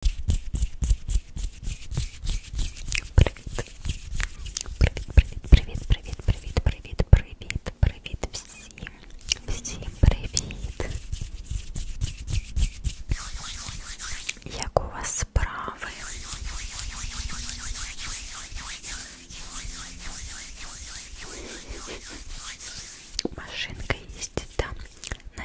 Привіт, привіт, привіт, привіт, привіт, привіт всім, всім привіт. Як у вас справи? Машинка їздить, да. На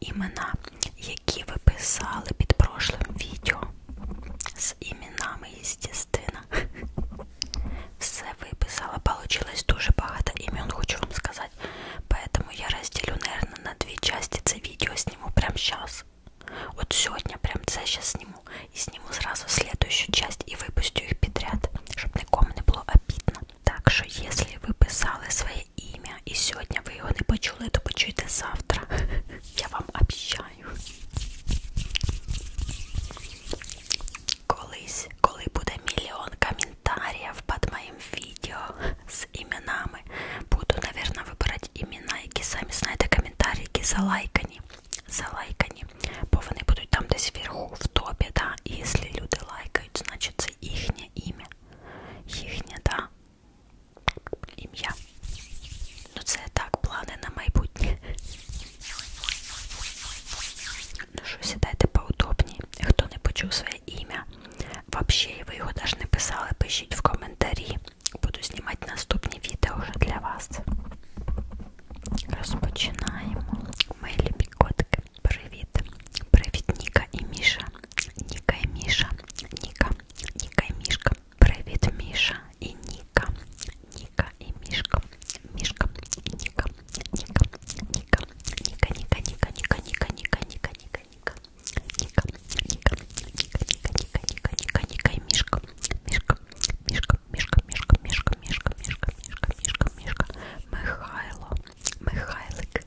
імена, які ви писали під прошлим відео. З іменами, естественно. Все виписала. Получилось дуже багато імен, хочу вам сказати. Поэтому я розділю, наверное, на дві части це відео сниму прямо сейчас. Вот сегодня прям це сейчас сниму. И сниму сразу следующую часть и выпущу их подряд, чтобы никому не было обидно. Так что, если вы писали свои своє ім'я. І сьогодні ви його не почули, то почуєте завтра. Я вам обіцяю. Колись, коли буде мільйон коментарів під моїм відео з іменами, буду, мабуть, вибирати імена, які самі знаєте коментарі, які залайкані. Залайкані, бо вони будуть там десь вверху, в топі, да? і якщо люди лайкають, значить це їхнє ім'я. Їхнє, да? ім'я. Ну це так, плани на майбутнє. Ну що, сідайте поудобні. Хто не почув своє ім'я, взагалі ви його навіть не писали, пишіть в коментарі. Буду знімати наступні відео вже для вас. Розпочинаємо. Мої любі котики. Привіт. Привіт, Ніка і Міша. Ніка і Міша. Ніка. Ника и Мишка. Привет, Миша и Ника. Ника и Мишка. Мишка и Ника. Ника, Ника, Ника, Ника, Ника, Ника, Ника, Ника, Ника, Ника, Ника. Ника, Ника, Ника, Ника, Ника, Ника, Ника, Ника и Мишка. Мишка, Мишка, Мишка, Мишка, Мишка, Мишка, Мишка, Мишка, Мишка, Мишка, Михайло, Михайлик,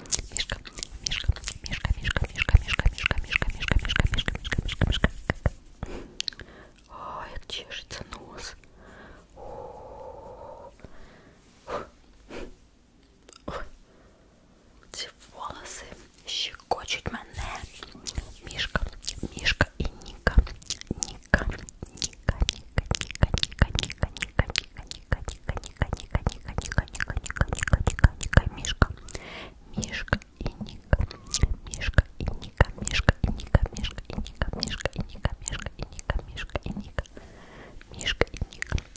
мишка, мишка, мишка, мишка, мишка, мишка, мишка, мишка, мишка, мишка, мишка, мишка, мишка, мишка. Ой, как чешется нос. Ці волоси щекочуть мене. Мішка, мішка і Ніка. Ніка, Ніка, Ніка, Ніка, Ніка, Ніка, Ніка, Ніка, Ника, Ника, Ника, Ника, Ника, Ника, Ника, Ника, Ника, Ника, Ника, Мишка, Мишка и Ника, Мишка и Ника, Мишка и Ника, Мишка и Ника, Мишка и Ника, Мишка и Ника, Мишка и Ника, Мишка и Ника,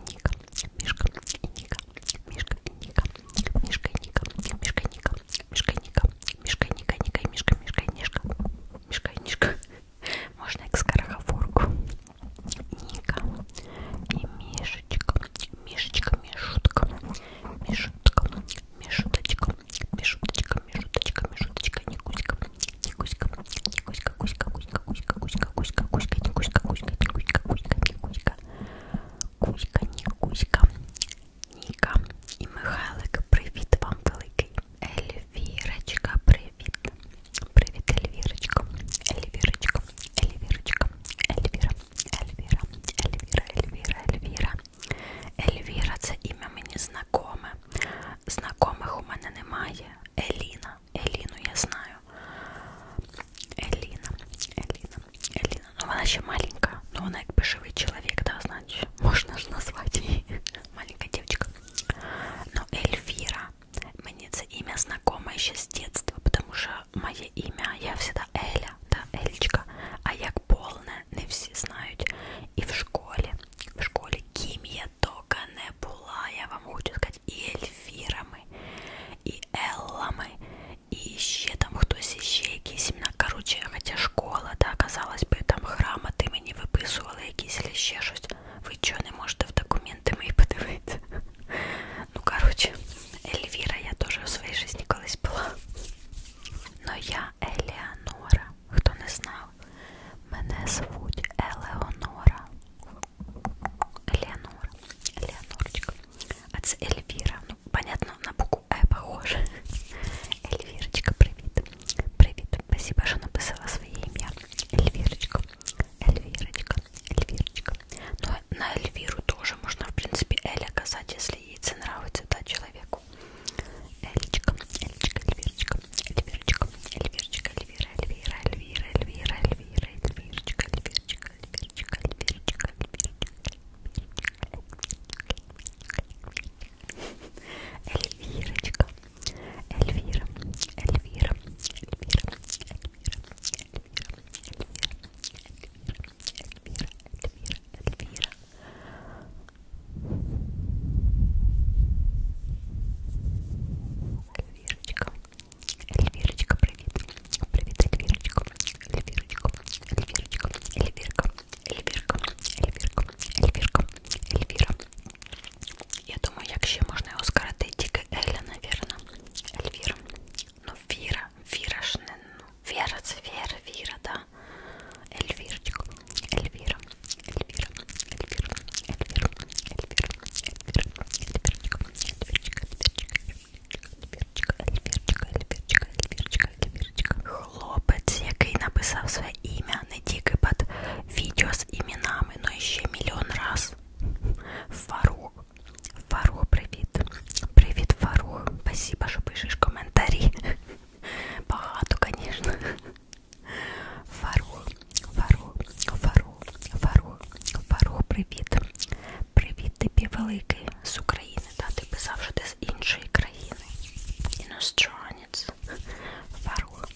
Мишка и Ника, Мишка и Ника, Мишка и Ника, Мишка и Ника, Мишка и Ника, Мишка и Ника, Мишка и Ника, Ника и Мишка, Мишка и Нишка, Мишка и Нишка. Можно к скороговорку. Ника и Мишечка, Мишечка, Мишутка, Мишутка, Мишуточка, Мишуточка, Мишуточка, Мишуточка, Никуська, Никуська, Никуська, Кузька, Кузька, Кузька, Кузька, Кузька, Кузька, Никуська, Кузька, Никуська, Кузька, Никуська, Кузька, Никуська, Ніка і Михайлик, привіт вам великий. Ельвірочка, привіт. Привет, Эльвирочка, Эльвирочка, Эльвирочка, Эльвира, Эльвира, Эльвира, Эльвира, Эльвира. Ельвіра це ім'я мені знакоме. Знакомих у мене немає. Еліна. Еліну я знаю. Еліна, Еліна, Еліна. Ну вона ще маленька, ну вона якби живий чоловік, да, значить. Можна ж назвати її. Маленька дівчинка. Ну, Ельвіра. Мне это имя знакомо еще с детства, потому что мое имя, я всегда Эля, да, Элечка, а як полне не всі знають. І в школі, в школі ким я тока не була, я вам хочу сказати, і Ельвірами, і Еллами, і ще там хтось іще якісь імена. Коротше, хоча школа, да, казалось би, там грамоти мені виписували якісь ще щось. Ви чого не можете в документи мої подивити? Ну, коротше, Ельвіра я теж у своїй житті колись була. Но я Елеонора. Хто не знав, мене звуть Елеонора. Елеонора. Елеонорочка. А це Ельвіра. Ну, понятно, на букву Е «Э» похоже. Ельвірочка, привіт. Привіт. Спасибо, що написала своє ім'я. Ельвірочка. Эльвирочка, Эльвирочка. Но ну, а на Эльвиру тоже можно, в принципе, Эль оказать, если ей цена нравится, да, человеку. Эльчика, Эльчика, Эльвирочка, Эльвирочка, Эльвирочка, Эльвира, Эльвира, Эльвира, Эльвира, Эльвира, Эльвирочка, Эльвирочка, Эльвирочка, Эльвирочка, Эльвирочка, Эльвирочка. Эльвира, Эльвира, Эльвира, Эльвира, Эльвира, Эльвира, Эльвира, Эльвира. Эльвирочка, Эльвирочка, привет, привет, Эльвирочка, Эльвирочка, Эльвирочка, Эльвирка, Эльвирка, Эльвирка, Эльвирка, Эльвира, я думаю, як ще можна його скоротити, тільки Еля, напевно. Ельвіра. Ну, Віра, Віра ж не, ну, Віра, це Віра, Віра, да. Ельвірчик, Ельвіра, Ельвіра, Ельвіра, Ельвіра, Ельвіра, Ельвіра, Ельвірчик, Ельвірчик, Ельвірчик, Ельвірчик, Ельвірчик, Ельвірчик, Ельвірчик. Хлопець, який написав своє ім'я не тільки під відео з іменами, но і ще мільйон раз. Фарух. Фарух, привіт. Привіт, Фарух. Спасибо, що пишеш коментарі. Багато, звісно. Фарух, Фарух, Фарух, Фарух, Фарух, привіт. Привіт тобі, великий, з України. Та ти писав, що ти з іншої країни. Іностранець. Фарух,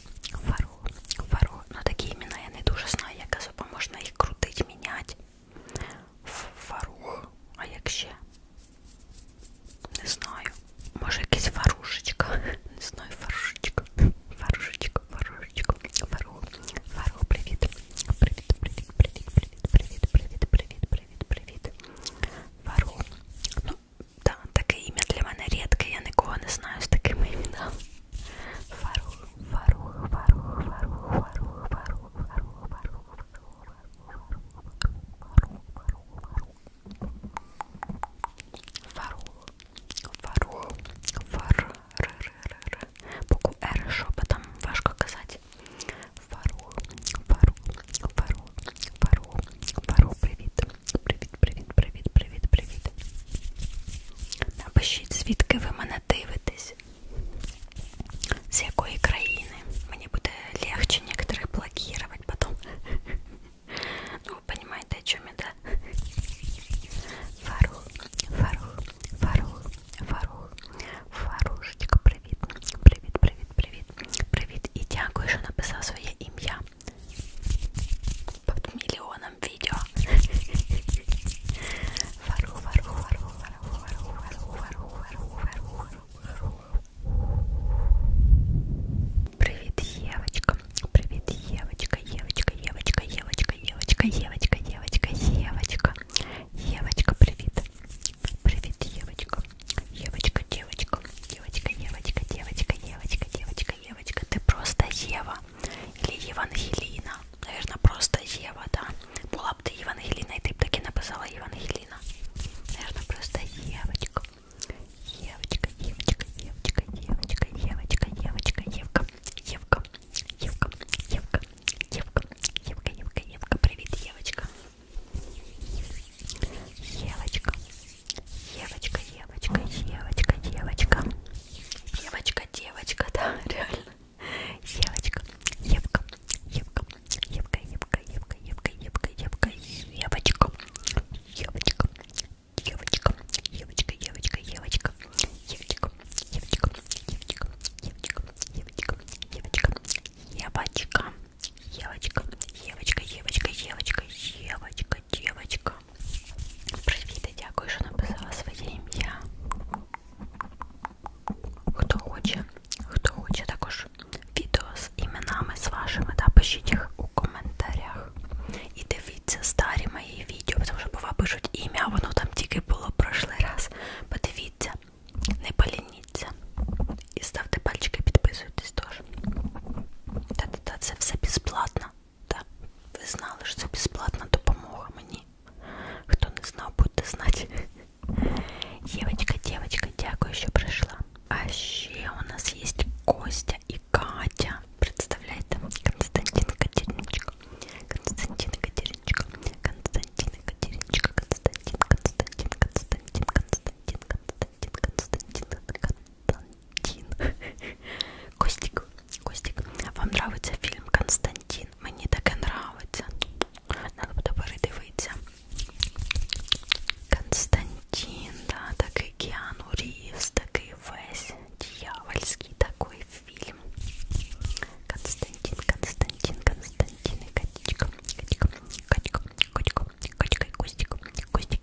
Фарух. Фаро, Фаро. Ну такі імена я не дуже знаю, як особа можна їх крутить, міняти. Фарух. А як ще? Не знаю. Може якась фарушечка. Не знаю, фарушечка. Фарушечка, фарушечка. Фаро. Фаро, привіт. Привіт, привіт, привіт, привіт, привіт, привіт, привіт, привіт. Фаро. Ну, так, да, таке ім'я для мене рідке, я нікого не знаю з такими іменами. Фарух, фарух, фарух, фарух, фарух, фарух, фарух, фарух, фарух, фарух, букву Р шепотом важко казать. Фарух, фарух, фарух, фарух, фарух, привіт. Привіт-привіт-привіт-привіт-привіт. Напишіть, звідки ви мене дивитесь, з якої країни. Мені буде легче некоторых блокувати потом. Ну, ви розумієте, о чому я, да? Фарух, Фарух, Фарух, Фарух, Фарушечка, привіт, привіт, привіт, привіт, привіт. І дякую, що написав своє ім'я под миллионом видео. Вору, вору, вору, вору, вору, вору, вору, вору, вору, Привет, девочка. Привет, девочка, девочка, девочка, девочка, девочка, девочка, девочка, девочка. Девочка, привет. Привет, девочка. Девочка, девочка. Девочка, девочка, девочка, девочка, девочка. Евочка, Евочка, ты просто Ева. Или Евангелина. Наверное, просто Ева, да. Была бы ты Евангелина, и ты бы таки написала Евангелина. Наверное, просто Евочка. Евочка, Евочка, Евочка, Евочка, Евочка, Евочка, Евка, Евка, Евка, Евка, Евка, Евка, Евка, Евка, привет, Евочка. Евочка, Девочка, девочка, девочка, девочка. Девочка, девочка, да, реально. Девочка, девка, девка, девка, девка, девка, девка, девка, девка, девочка, девочка, девочка, девочка, девочка, девочка, девочка, девочка, девочка, девочка, девочка, девочка, девочка, девочка, девочка, девочка, девочка, девочка, девочка, Привіт і дякую, що написала своє ім'я. Хто хоче, хто хоче також відео з іменами з вашими, да, пишіть їх у коментарях. І дивіться старі мої відео, тому що бува пишуть ім'я, воно там тільки було прошлий раз. Подивіться, не полініться. І ставте пальчики, підписуйтесь теж. Та-та-та, це все безплатно. Так, ви знали, що це безплатна допомога мені. Хто не знав, будете знати. Девочка, девочка, дякую, що прийшла. А ще у нас є Костя і Катя. Представляєте? Константин Катериночка. Константин Катериночка. Константин Катериночка. Константин, Константин, Константин, Константин, Константин, Константин, Константин. Константин. Костик, Костик, вам нравиться фільм Константин? Мені таке нравиться. Надо буде передивитися. Константин, да, такий Кіану Рівз, такий весь дьявольський такий фільм. Константин, Константин, Константин и Катечка. Катечка, Катечка, Катечка, Катечка и Костик. Костик,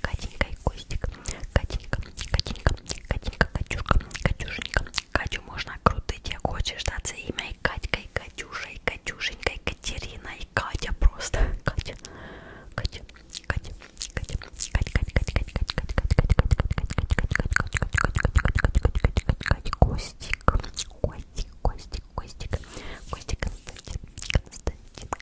Катенька и Костик. Катенька, Катенька, Катенька, Катюшка, Катюшенька. Катю можно крутить, тебе хочешь даться имя и Катька, и Катюша, и Катюшенька, и Катерина, и Катя просто. Катя, Катя, Катя, Катя, Катя, Катя, Катя, Катя, Катя, Катя, Катя, Катя, Катя, Катя, Катя, Костик, Костик, Костик, Костик, Константин, Константин,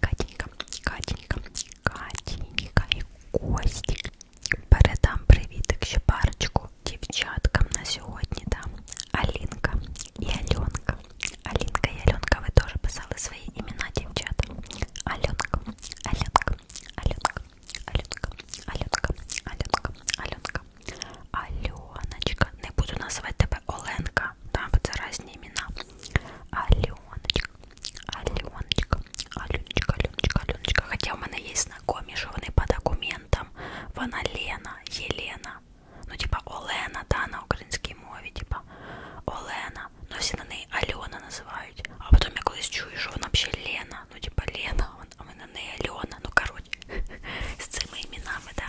Катенька, Катенька, Катенька і Костік. Передам привітик ще парочку дівчаткам на сьогодні дам. Алінка і Альонка. Алінка і Альонка, ви теж писали свої імена, дівчата. Альонка, Альонка, Альонка, Альонка, Альонка, Альонка, Альонка. Альоночка, не буду називати тебе Оленка, да, там вот разные имена. Аленочка, Аленочка, Аленочка, Аленочка, Аленочка. Хотя у меня есть знакомые, вони по документам. Вона Лена, Елена. Ну, типа Олена, да, на українській мові, типа Олена. Ну, всі на неї Альона називають. А потім я колись чую, що вона взагалі Лена. Ну, типа Лена, а ми на неї Альона. Ну, коротше, з цими іменами, да.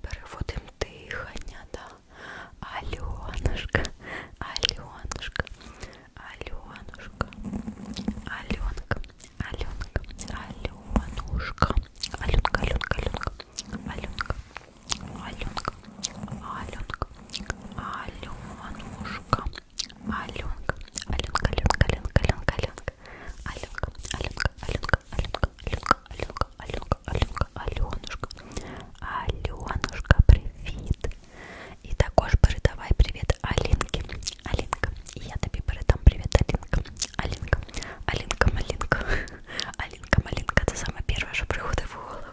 переводим дихання, да. Альонушка, Альонушка, Альонушка, Аленка, Аленка, Аленушка, Аленка, Аленка, Аленка, Аленка, Аленка, Аленка, Аленушка, Аленка, Аленка, Аленка, Аленка, Аленка, Аленка, Аленка, Аленка, Аленка, Аленка, Аленка, Аленка, Аленка, Аленка, Аленушка, Аленушка, привіт. І також передавай привіт Алінки. Алінка, і я тобі передам привіт, Алінка. Алінка, Алінка, Малінка. Алінка, Малінка, це саме перше, що приходить в голову.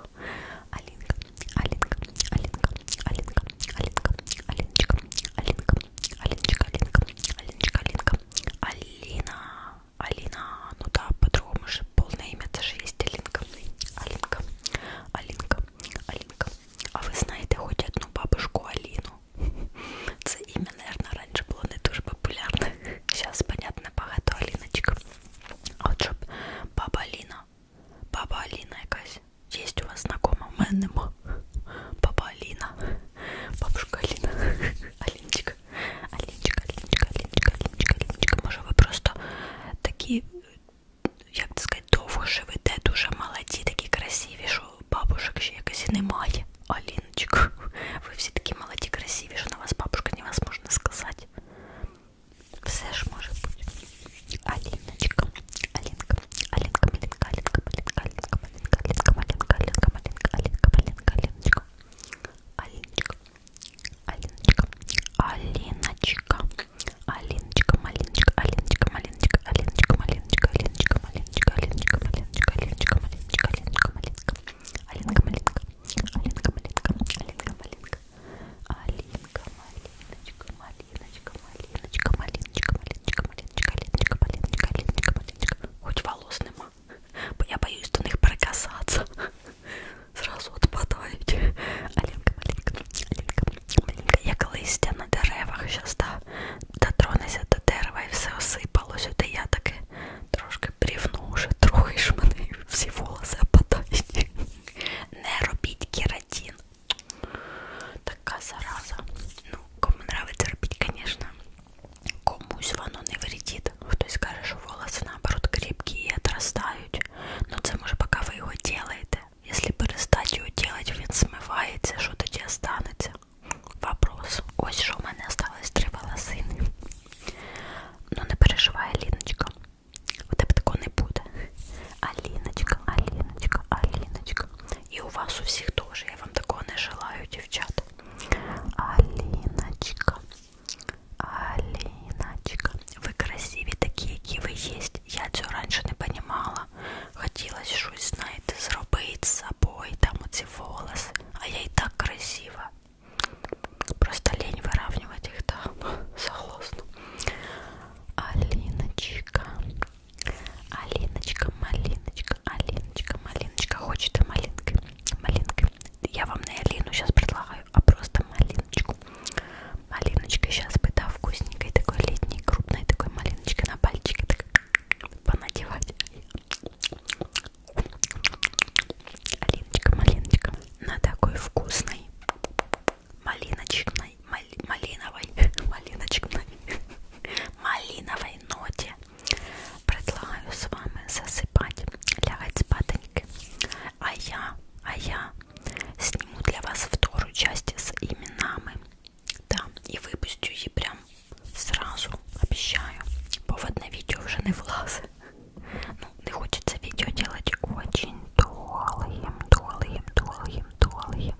Алінка, Алінка, Алінка, Алінка, Алінка, Аліночка, Алінка, Аліночка, Алінка, Аліночка, Алінка, Аліна. Алина, ну да, по-другому же полное имя даже есть Алинка. Алинка, Алинка, Алинка. А вы знаете хоть одну бабушку Алину? Це имя, наверное, раньше было не дуже популярно. Сейчас, понятно, багато Алиночек. А от щоб баба Алина, баба Алина якась, есть у вас знакома? У мене нема. Баба Алина, бабушка Алина, Алиночка. Алінчика, Алінчика, Алінчика, Алінчика, Алінчика, може ви просто такі, як це сказати, довго живете, дуже молоді, такі красиві, що бабушек ще якось і немає. Аліночка, ви всі такі молоді, красиві, що на вас бабушка невозможно сказати. Все ж може бути. Аліночка, Алінка, Алінка, Малінка, Алінка, Малінка, Алінка, Малінка, Алінка, Малінка, Алінка, Малінка, Алінка, Алінка, Аліночка. Алиночка, Алиночка, Алиночка, Алиночка, Малиночка, Алиночка, Малиночка, Алиночка, Малиночка, Алиночка, Малиночка, Алиночка, Малиночка, Алиночка, Малиночка, Алиночка, Малиночка, Алинка, Малинка, Алинка, Малинка, Алинка, Малинка, Алинка, Малиночка, Малиночка, Малиночка, Малиночка, Малиночка, Малиночка, Алиночка, Малиночка, Алиночка, Малиночка, хоть волос нема. Я боюсь до них прикасаться. Зразу отпадають. Алінка, малінка, Алінка, малінка. Я колись на деревах щас, да, дотронуся до дерева і все осипалось. От і я таки трошки брівну вже, трохи ж мене всі волоси опадають. Не робіть кератин. Така зараза. Ну, кому нравится робить, конечно. Комусь воно не вредить. Хтось каже, що волоси наоборот кріпкі і отростають. Ну це може поки ви його делаєте. Якщо перестати його делать, він смивається, що тоді останеться. Вопрос. Ось що в мене осталось три волосини. Ну не переживай, Аліночка. У тебе такого не буде. Аліночка, Аліночка, Аліночка. І у вас у всіх теж. Я вам такого не желаю, дівчата. Алиночка, Алиночка, вы красивее такие, які ви єсть. Я цього раніше не понимала. Хотілося щось, знаєте, зробити з собою, там оці волоси. А я і так красива. Просто лень выравнивать их там. Согласна. Алиночка. Алиночка, малиночка, Алиночка, малиночка. Хочет и малинкой малинкой. Я вам не Алину сейчас предлагаю, а просто малиночку. Малиночка сейчас бы, да, вкусненькой такой летней, крупной такой малиночкой на пальчике так понадевать. Алиночка, малиночка, на такой вкусной малиночной, мали, малиновой, малиночной, малиновой ноте Предлагаю с вами засыпать, лягать спатоньки. А я, а я сниму для вас вторую часть с именами. Да, и выпустю ее прям сразу, обещаю. Повод на видео уже не влазит. Ну, не хочется видео делать очень долгим, долгим, долгим, долгим.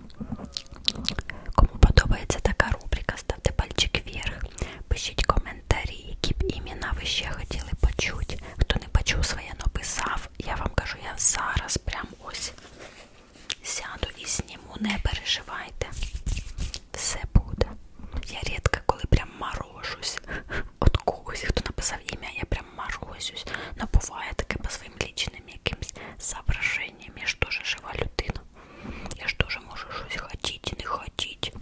Кому подобається така рубрика, ставте пальчик вверх. Пишіть коментарі, які б імена ви ще хотіли почути. Хто не почув своє, написав. Я вам кажу, я зараз прям ось сяду і зніму, не переживайте. Все буде. Я рідко коли прям морожусь. От когось, хто написав ім'я, я прям морозюсь. Но ну, буває таке по своїм лічним якимсь соображенням. Я ж дуже жива людина. Я что же можешь хотите, хотите, не хотите.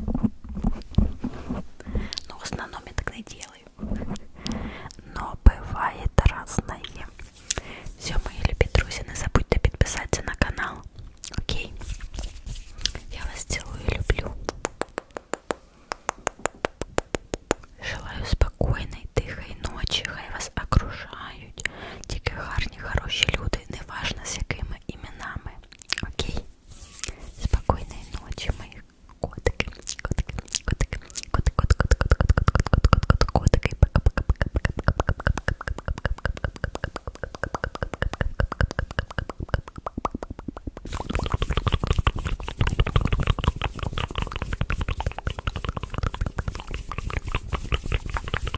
Ну, в основном я так не делаю. Но бывает разное. Все, мои любі друзі, не забудьте підписатися на канал. Окей. Я вас цілую і люблю. Желаю спокійної, тихої ночі. Хай вас окружають. Тільки гарні, хороші люди люди, неважно з якими іменами. Окей? Спокійної ночі, мої котики. Котики, котики, котик, котик, котик, котик, котик, котик, котик, котики.